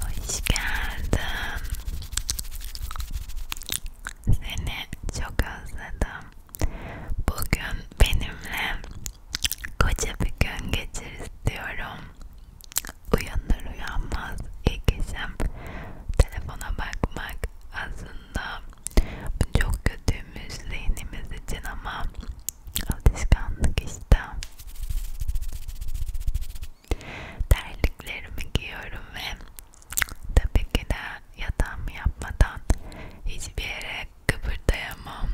Hoş geldin. Seni çok özledim. Bugün benimle koca bir gün geçir istiyorum. Uyanır uyanmaz ilk işim telefona bakmak aslında bu çok kötüymüş zihnimiz için ama Alışkanlık işte. Terliklerimi giyiyorum ve tabii ki de yatağımı yapmadan hiçbir yere kıpırdayamam.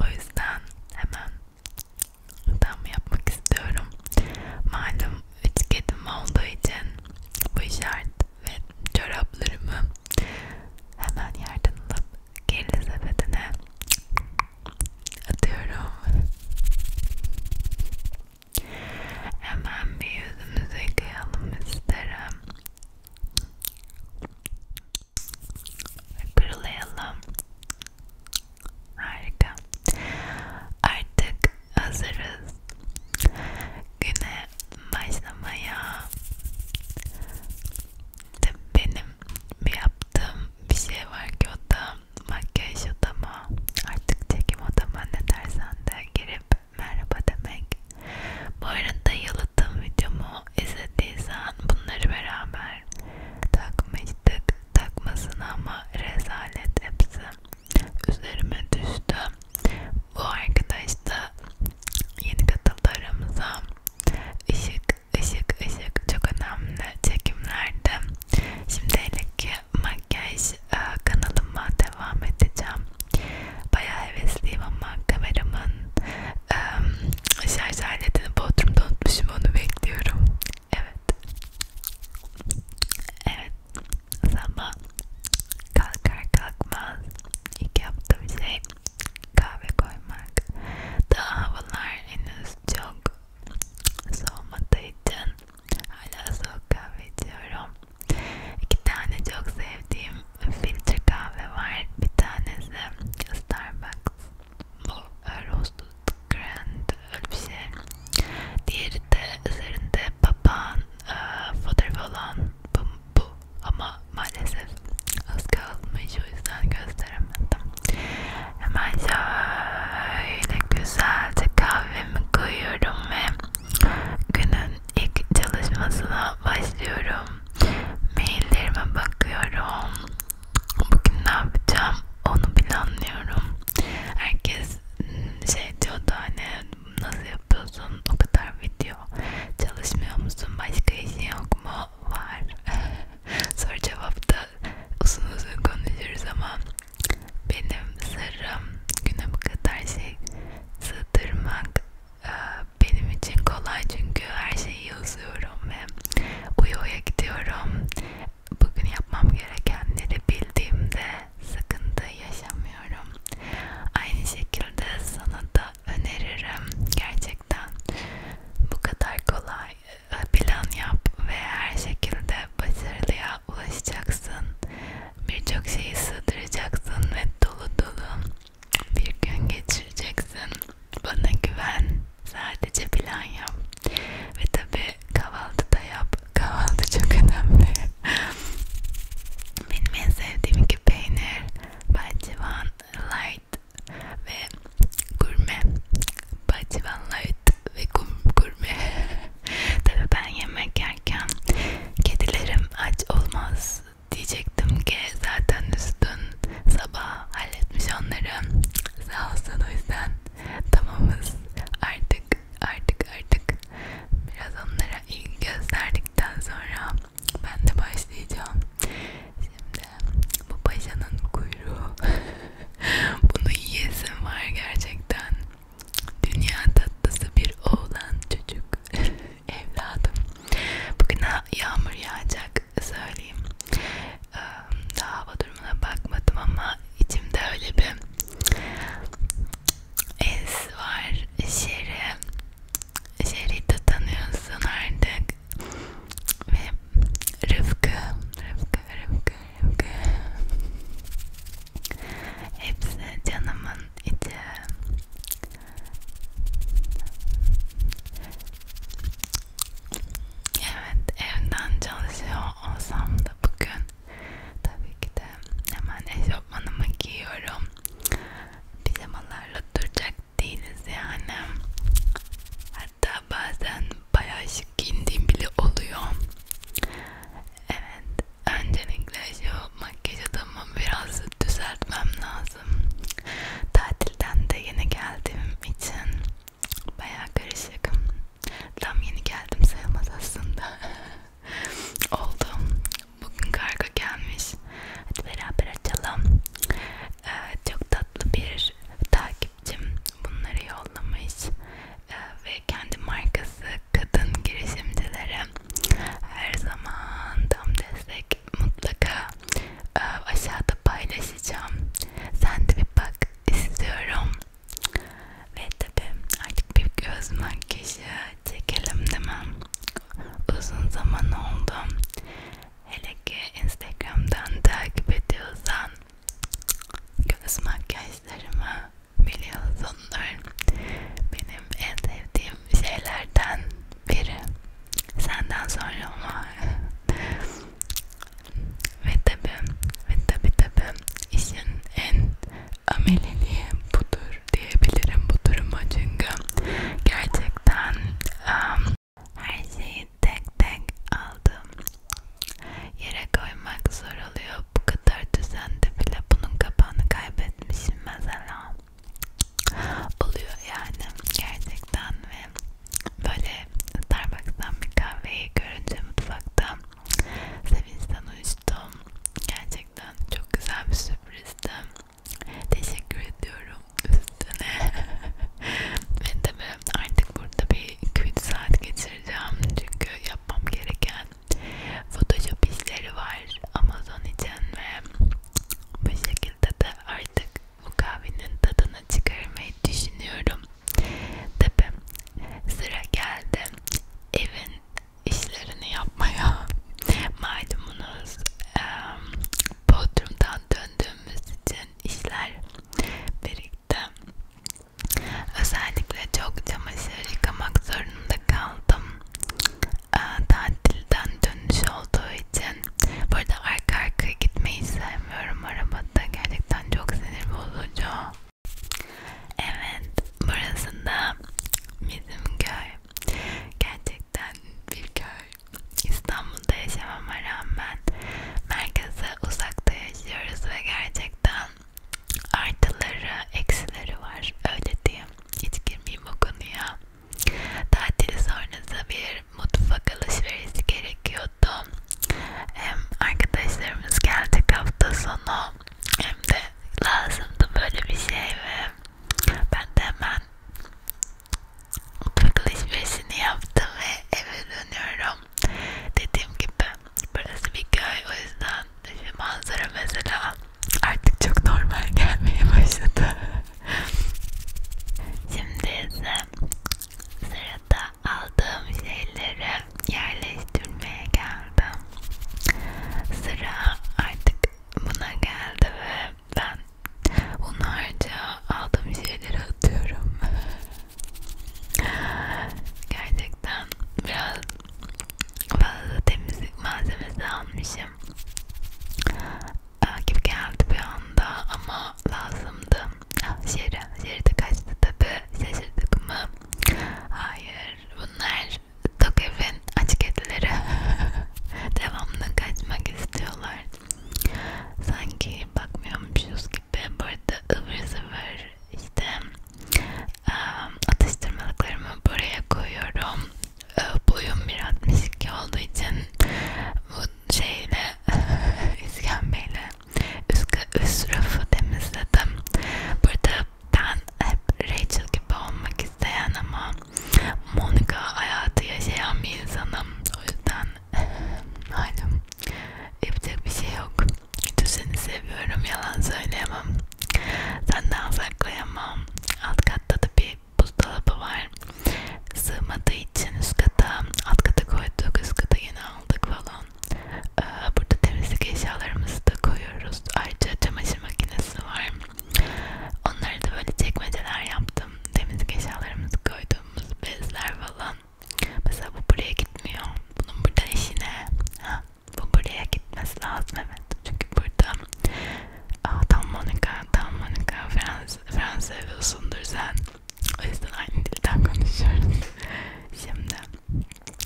O yüzden hemen yatağımı yapmak istiyorum. Malum üç kedim olduğu için bu işaret ve çoraplarımı hemen yerden alıp kirli sepetine atıyorum hemen bir yüzümüzü yıkayalım isterim kırılayalım harika artık hazırız güne başlamaya benim bir yaptığım yaptığım bir şey var ki o da makyaj odama artık çekim odama ne dersen de girip merhaba demek. Bu arada yalıttığım videomu izlediysen bunları beraber takmıştık takmasın ama rezalet hepsi üzerime düştü. Bu arkadaş da yeni katıldı aramıza. Işık ışık, ışık çok önemli çekimlerde. Şimdi ki makyaj e, kanalıma devam edeceğim. Bayağı hevesliyim ama kameramın ıı, şarj aletini bodrumda unutmuşum onu bekliyorum. Evet. Evet. Sabah kalkar kalkmaz ilk yaptığım şey kahve koymak. Daha havalar henüz çok soğumadığı için hala soğuk kahve içiyorum. İki tane çok sevdiğim filtre kahve var. Bir tanesi Starbucks. Bu Roasted Grand öyle bir şey. Diğeri de üzerinde papağan e, fotoğrafı olan bu, bu ama maalesef az kalmış o yüzden gösteremedim hemen şöyle güzelce kahvemi koyuyorum ve günün ilk çalışmasına başlıyorum maillerime bakıyorum bugün ne yapacağım onu planlıyorum herkes hmm, şey diyordu hani nasıl yapıyorsun o kadar video çalışmıyor musun başka işin yok mu var Soru cevapta uzun uzun konuşuruz ama benim sırrım güne bu kadar şey sığdırmak e, benim için kolay çünkü her şeyi yazıyorum ve uya uya gidiyorum. Bugün yapmam gerekenleri bildiğimde sıkıntı yaşamıyorum. Aynı şekilde sana da öneririm gerçekten. Bu kadar kolay plan yap ve her şekilde başarılıya ulaşacaksın. Birçok şeyi sığdıracaksın ve dolu dolu bir gün geçireceksin. Bana güven. Sadece plan yap. Ve tabii kahvaltı da yap. Kahvaltı çok önemli. Benim en sevdiğim iki peynir, bahçıvan, light light ve gurme bativan light ve gurme tabi ben yemek yerken kedilerim aç olmaz diyecektim ki zaten üstün sabah halletmiş onları sağ olsun o yüzden tamamız artık artık artık biraz onlara ilgi gösterdikten sonra ben de başlayacağım şimdi bu paşanın kuyruğu bunu yiyesin var gerçekten dünya tatlısı bir oğlan çocuk evladım bugün yağmur yağacak söyleyeyim ee, daha hava durumuna bakmadım ama içimde öyle bir es var şeri şeri de tanıyorsun artık ve Rıfkı, Rıfkı, Rıfkı, Rıfkı Hepsi canımın içi Evet evden çalışıyor olsam da bugün Tabii ki de hemen eşofmanımı giyiyorum Pijamalarla duracak değiliz yani. Hatta bazen bayağı şık giyindiğim bile oluyor. Evet, öncelikle şu makyaj adamı biraz düzeltmem lazım. Tatilden de yeni geldiğim için bayağı karışık. Tam yeni geldim sayılmaz aslında. Oldu. Bugün kargo gelmiş. Hadi beraber açalım. Ee, çok tatlı bir bir takipçim bunları yollamış e, ve kendi markası kadın girişimcilere her zaman tam destek mutlaka e, aşağıda paylaşacağım. Sen de bir bak istiyorum. Ve tabi artık bir göz makyajı çekelim değil mi? Uzun zaman oldu. Hele ki Instagram'dan takip ediyorsan göz makyajlarımı biliyorsundur. Benim en sevdiğim şeylerden biri. Senden sonra ama ve tabi ve tabi tabi işin en ameliliği budur diyebilirim bu duruma çünkü gerçekten um, her şeyi tek tek aldım. Yere koymak zor oluyor. Bu kadar düzende bile bunun kapağını kaybetmişim mesela. Oluyor yani gerçekten ve böyle Starbucks'tan bir kahveyi görünce mutfakta sevinçten uyuştum. Gerçekten çok güzel bir sürprizdi. Teşekkür ediyorum üstüne. Ve tabi artık burada bir 2-3 saat geçireceğim çünkü yapmam gereken Photoshop işleri var Amazon için ve bu şekilde de artık bu kahvenin tadını çıkarmayı düşünüyorum. Tabi sıra geldi evin işlerini yapmaya. Malumunuz e, Bodrum'dan dön döndüğümüz için işler birikti. Özellikle çok çamaşır yıkamak zorunda kaldım. Ee, tatilden dönüş olduğu için. Burada arka arkaya gitmeyi sevmiyorum arabada. Gerçekten çok sinir bozucu. Evet, burası da bizim köy. Gerçekten bir köy. İstanbul'da yaşamama rağmen merkeze uzakta yaşıyoruz ve gerçekten artıları, eksileri var. Öyle diyeyim. Hiç girmeyeyim o konuya. Tatil sonrası bir mutfak alışverişi gerekiyordu. Hem arkadaşlarımız gelecek hafta sonu hem de lazımdı böyle bir şey ve ben de hemen Oturak alışverişini yaptım ve eve dönüyorum. Dediğim gibi burası bir köy o yüzden şu manzara mesela artık çok normal gelmeye başladı. Şimdi ise sırada aldığım şeyleri yerleştirmeye geldim. Sıra artık buna geldi ve ben bunun harca aldığım şeyleri atıyorum. Gerçekten biraz fazla temizlik malzemesi almışım gibi geldi bir anda ama lazımdı. Ah, şeri, şeri de kaçtı tabi. Şaşırdık mı? Hayır. Bunlar Tokev'in aç kedileri. Devamlı kaçmak istiyorlar sanki bakmıyormuşuz gibi burada ıvır zıvır işte ıı, atıştırmalıklarımı buraya koyuyorum boyum bir 62 olduğu için bu şeyle iskembeyle üst, üst rafı temizledim burada ben hep Rachel gibi olmak isteyen ama Monika hayatı yaşayan bir insanım. O yüzden halim yapacak bir şey yok. Kötü seni seviyorum. Yalan söyleyemem. Senden saklayamam. Alt katta da bir buzdolabı var. Sığmadığı için üst kata, alt kata koyduk. Üst kata yine aldık falan. Ee, burada temizlik eşyalarımızı da koyuyoruz. Ayrıca çamaşır makinesi var. Onları da böyle çekmeceler yaptım koydum. Temizlik eşyalarımızı koyduğumuz bezler falan. Mesela bu buraya gitmiyor. Bunun burada işi ne? Ha, bu buraya gitmesi lazım evet. Çünkü burada Dalmanika, Dalmanika Frans, Fransa biliyorsundur sen. O yüzden aynı dilden konuşuyoruz. Şimdi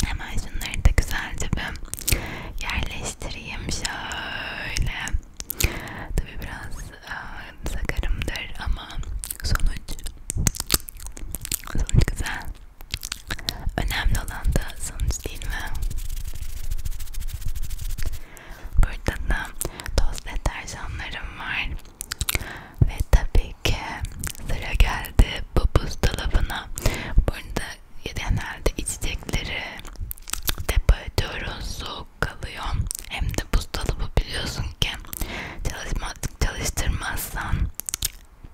hemen şunları da güzelce bir yerleştireyim şöyle. Tabi biraz sakarımdır ama sonuç sonuç güzel. Önemli olan da sonuç değil mi? Burada da toz deterjanlarım var. Ve tabii ki sıra geldi bu buzdolabına. Burada genelde içecekleri depo ediyoruz. Soğuk soğuk kalıyor. Hem de buzdolabı biliyorsun ki çalışmadık çalıştırmazsan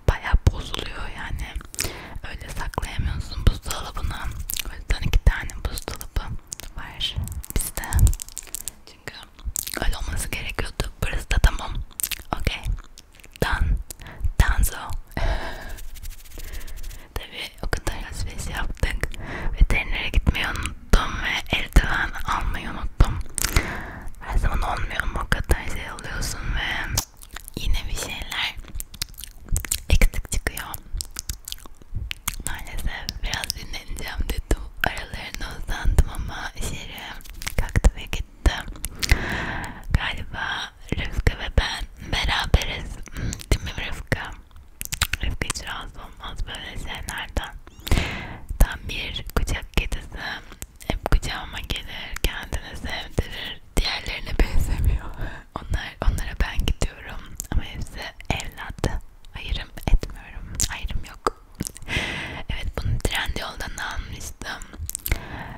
baya bozuluyor yani. Öyle saklayamıyorsun buzdolabına. O yüzden iki tane buzdolabı var bizde. Çünkü öyle olması gerekiyordu. Burası da tamam. Okey. Dan. Danzo. Tabi o kadar alışveriş yaptık. Veterinere gitmeyi unuttum ve eldiven almayı unuttum. Her zaman olmuyor ama o kadar şey alıyorsun ve yine bir şeyler eksik çıkıyor. Maalesef biraz dinleneceğim dedim. Aralarına uzandım ama içeri kalktı ve gitti. Galiba Rıfkı ve ben beraberiz. Değil mi Rıfkı? Rıfkı hiç rahatsız olmaz böyle şeylerden. Tam bir kucak kedisi. Hep kucağıma gelir, kendini sevdirir. Diğerlerine benzemiyor. Onlar, onlara ben gidiyorum ama hepsi evlat. Ayrım etmiyorum. Ayrım yok. evet bunu Trendyol'dan almıştım.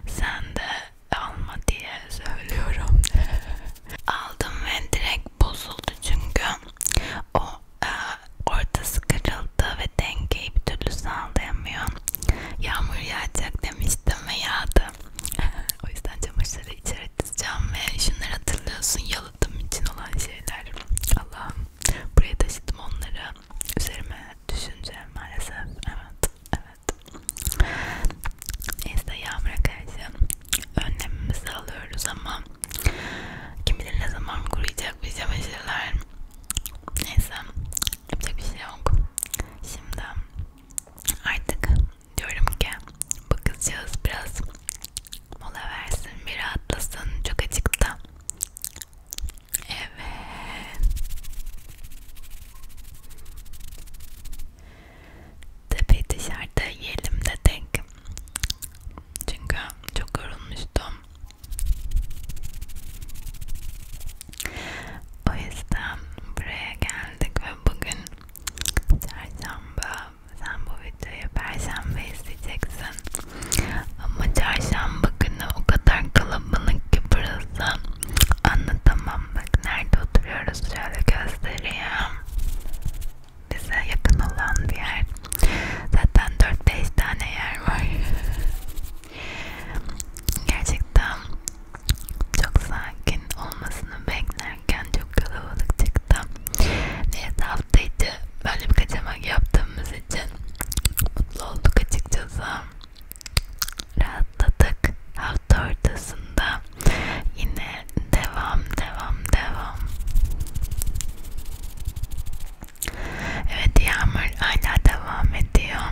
Sen de alma diye söylüyorum. aldım ve direkt bozuldu çünkü o e, ortası kırıldı ve dengeyi bir türlü sağlayamıyor. Yağmur yağacak demiştim ve yağdı. o yüzden çamaşırları içeri atacağım ve şunları hatırlıyorsun yalıtım için olan şeyler. Allah'ım buraya taşıdım onları. Üzerime düşünce maalesef. Evet, evet. Neyse yağmura karşı önlemimizi alıyoruz ama kim bilir ne zaman kuruyacak bir çamaşırlar neyse yapacak bir şey yok şimdi artık diyorum ki bu kızcağız biraz mola versin bir rahatlasın çok acıktı evet tepeyi dışarıda yiyelim dedik çünkü çok yorulmuştum o yüzden buraya geldik ve bugün çarşamba sen bu videoyu perşembe izleyeceksin ama çarşamba günü o kadar kalabalık ki burası anlatamam bak nerede oturuyoruz şöyle göstereyim bize yakın olan bir yer. Zaten 4-5 tane yer var. Gerçekten çok sakin olmasını beklerken çok kalabalık çıktı. Neyse hafta içi böyle bir kaçamak yaptığımız için mutlu olduk açıkçası. Rahatladık. Hafta ortasında sonra yine devam devam devam evet yağmur hala devam ediyor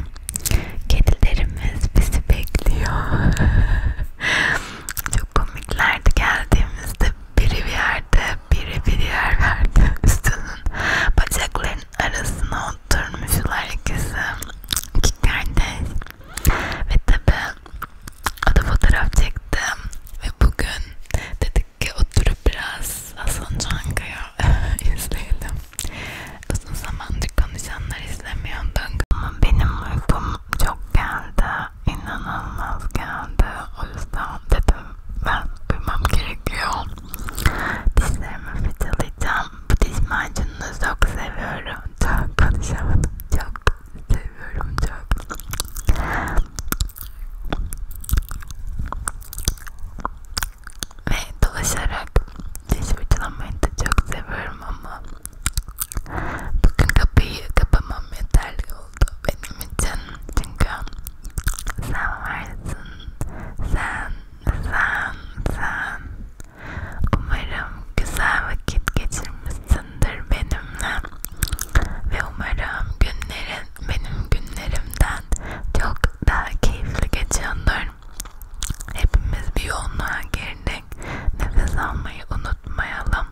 kedilerimiz bizi bekliyor çok komiklerdi geldiğimizde biri bir yerde biri bir yer verdi üstünün bacaklarının arasına oturmuşlar ikisi iki kardeş ve tabi Ada fotoğraf çektim ve bugün dedik ki oturup biraz Hasan Çankaya izleyelim. Uzun zamandır konuşanlar izlemiyorduk ama benim uykum çok geldi, inanılmaz geldi. O yüzden dedim ben uyumam gerekiyor. Dişlerimi fırçalayacağım. Bu diş macununu çok seviyorum. Çok konuşamadım. Çok seviyorum çok. Ve dolaşarak diş fırçalamayı da çok seviyorum ama bugün kapıyı kapamam yeterli oldu benim için çünkü sen varsın sen sen sen umarım güzel vakit geçirmişsin paylaşmışsındır benimle ve umarım günlerin benim günlerimden çok daha keyifli geçiyordur. Hepimiz bir yoğunluğa girdik. Nefes almayı unutmayalım.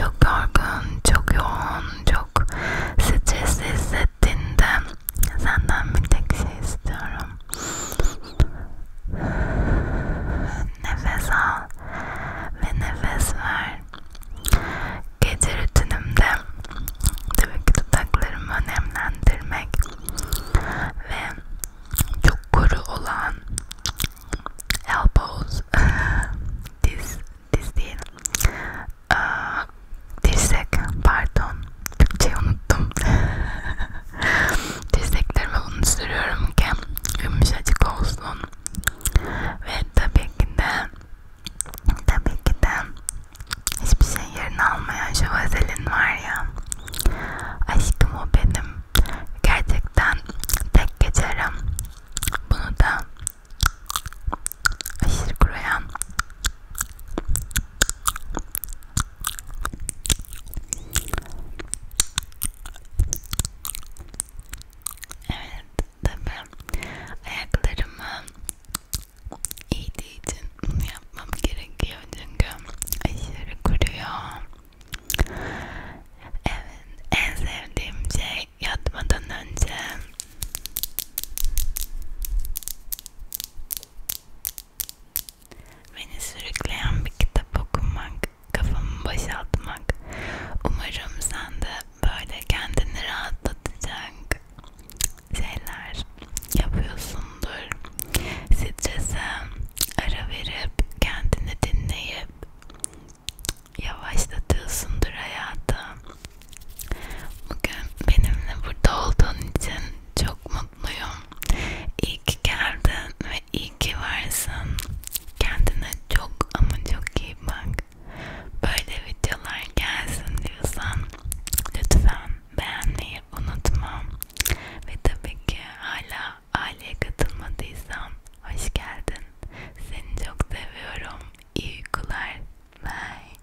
Çok yorgun, çok yoğun, çok stresli hissettim ettiğinde senden bir tek şey istiyorum. Nefes al ve nefes ver. Gece rutinimde tabii ki dudaklarımı önemlendirmek ve çok kuru olan elbows diz, diz değil dirsek pardon Türkçeyi unuttum dirseklerime bunu sürüyorum ki yumuşacık olsun ve tabii ki de tabii ki de hiçbir şey yerini almayan şu vazelin var ya aşkım o benim gerçekten tek geçerim bunu da aşırı kuruyan Evet tabii ayaklarımı iyiliği için bunu yapmam gerekiyor çünkü aşırı kuruyor. Evet en sevdiğim şey yatmadan önce Beni sürükleyen bir kitap okumak, kafamı boşaltmak. Umarım sen de böyle kendini rahatlatacak şeyler yapıyorsundur. Strese ara verip, kendini dinleyip yavaşlatıyorsundur hayatı. Bugün benimle burada olduğun için çok mutluyum mutluyum. İyi ki geldin ve iyi ki varsın. Kendine çok ama çok iyi bak. Böyle videolar gelsin diyorsan lütfen beğenmeyi unutma. Ve tabii ki hala aileye katılmadıysan hoş geldin. Seni çok seviyorum. İyi uykular. Bye.